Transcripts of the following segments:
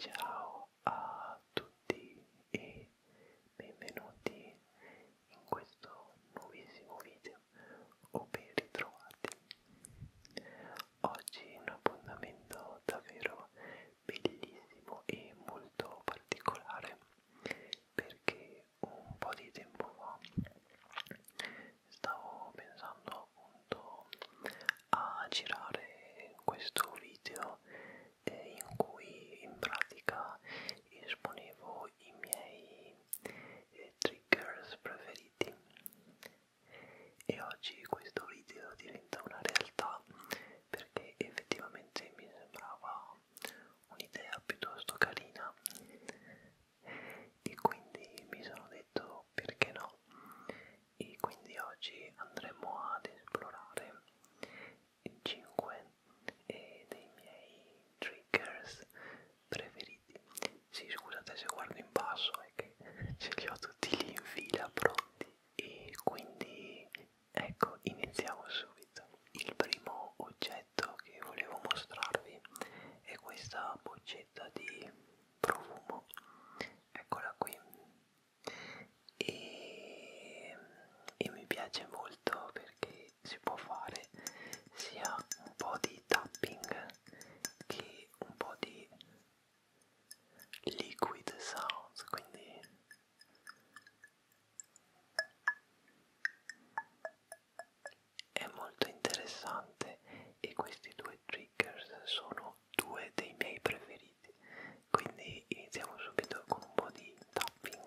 Ciao a tutti e benvenuti in questo nuovissimo video o ben ritrovati. Oggi un appuntamento davvero bellissimo e molto particolare perché un po' di tempo fa stavo pensando appunto a girare questo video eh, in cui in pratica esponevo i miei eh, triggers preferiti e oggi questo video diventa una realtà perché effettivamente mi sembrava un'idea piuttosto carina e quindi mi sono detto perché no e quindi oggi andremo ad esplorare 5 eh, dei miei triggers preferiti sì scusate se guardo in basso è che ce li ho tutti lì in fila pronti e quindi Ecco, iniziamo subito. Il primo oggetto che volevo mostrarvi è questa boccetta di profumo. Eccola qui. E, e mi piace molto perché si può fare sia un po' di tapping che un po' di liquid sounds, quindi è molto interessante e questi due triggers sono due dei miei preferiti. Quindi iniziamo subito con un po' di tapping.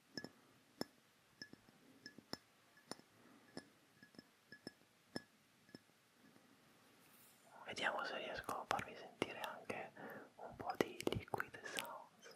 Vediamo se riesco a farvi sentire anche un po' di liquid sounds.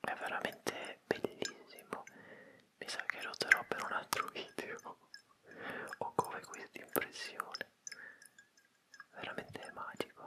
È veramente bellissimo. Mi sa che lo terrò per un altro video. Ho come questa impressione. Veramente magico.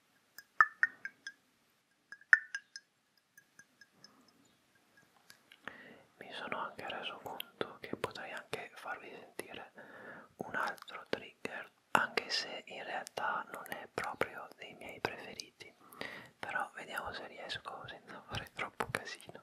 Mi sono anche reso conto che potrei anche farvi sentire un altro trigger, anche se in realtà non è proprio dei miei preferiti, però vediamo se riesco senza fare troppo casino.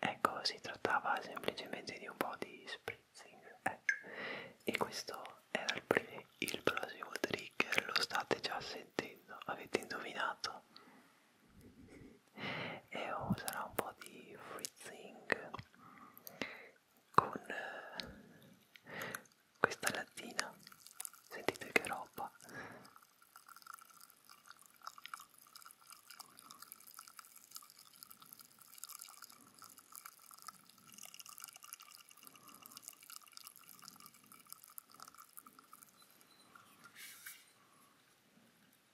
Ecco, si trattava semplicemente di un po' di spritzing eh. e questo era il, pre il prossimo trigger, lo state già sentendo, avete indovinato? e userò oh, un po' di freezing con eh, questa lattina sentite che roba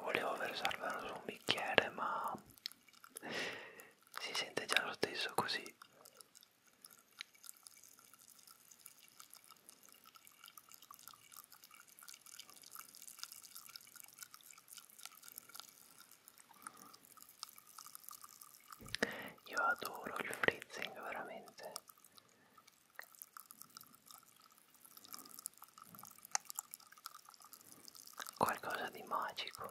volevo versarvela su un bicchiere ma si sente già lo stesso così io adoro il frizzing veramente qualcosa di magico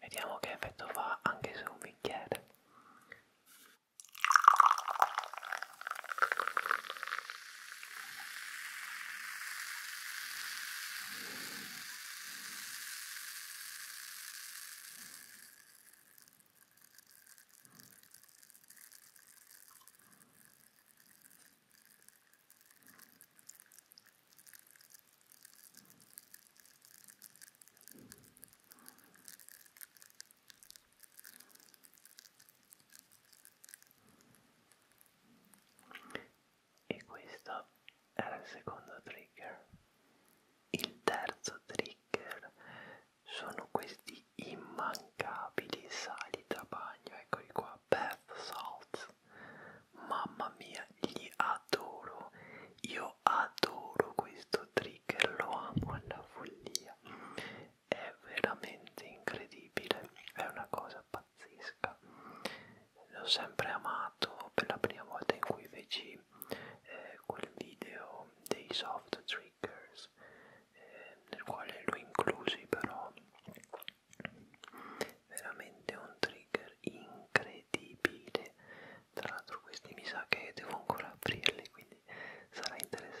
Vediamo che effetto fa anche su un bicchiere e questa era il secondo trigger il terzo trigger sono questi immancabili sali da bagno eccoli qua bath salt mamma mia li adoro io adoro questo trigger lo amo alla follia è veramente incredibile è una cosa pazzesca l'ho sempre amato per la prima volta in cui feci eh, quel video dei soft triggers eh, nel quale lo inclusi però veramente un trigger incredibile tra l'altro questi mi sa che devo ancora aprirli quindi sarà interessante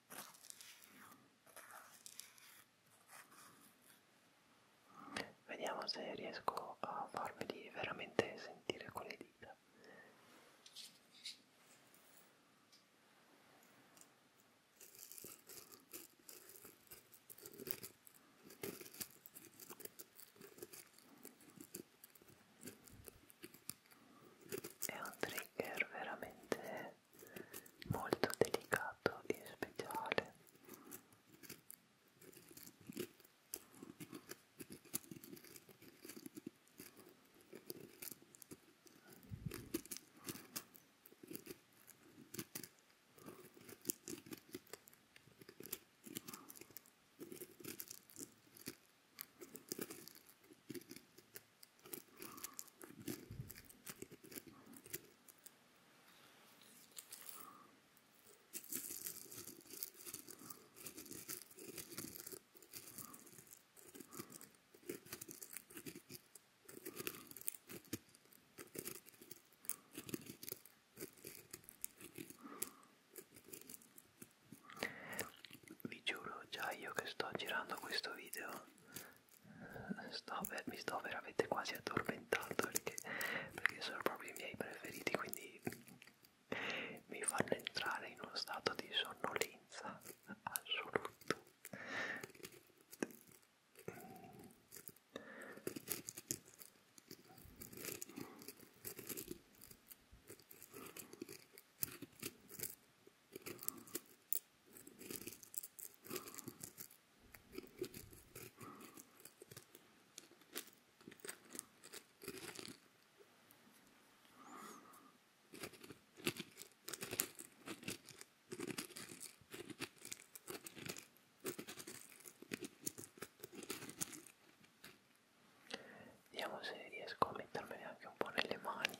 Vediamo se riesco a farveli veramente sentire con le dita. È un trigger veramente molto delicato e speciale vi giuro già io che sto girando questo video sto per, mi sto veramente quasi addormentando perché, perché sono proprio i miei preferiti quindi mi fanno entrare in uno stato di sonnolenza assoluto Vediamo se riesco a mettermene anche un po' nelle mani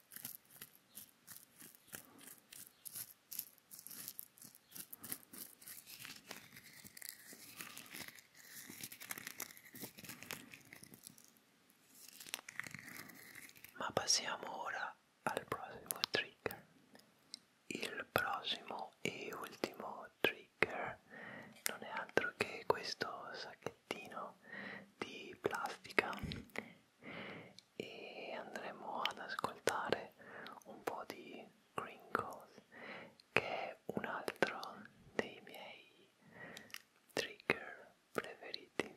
Ma passiamo ora al prossimo trigger. Il prossimo e ultimo trigger non è altro che questo sacchettino di plastica e andremo ad ascoltare un po' di Gringos che è un altro dei miei trigger preferiti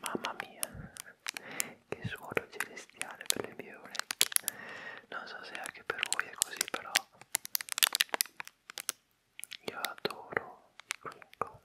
Mamma mia, che suono celestiale per le mie orecchie. Non so se anche per voi è così, però io adoro i crinkles.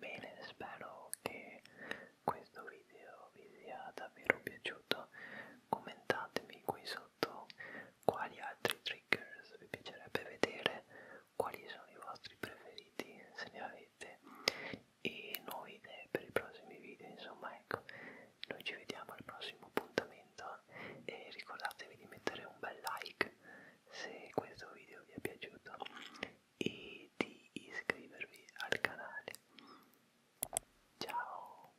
Bene, spero che questo video vi sia davvero piaciuto. Commentatemi qui sotto quali altri triggers vi piacerebbe vedere, quali sono i vostri preferiti se ne avete e nuove idee per i prossimi video. Insomma, ecco, noi ci vediamo al prossimo appuntamento commenta e ricordatevi di mettere un bel like se questo video vi è piaciuto e di iscrivervi al canale. Ciao!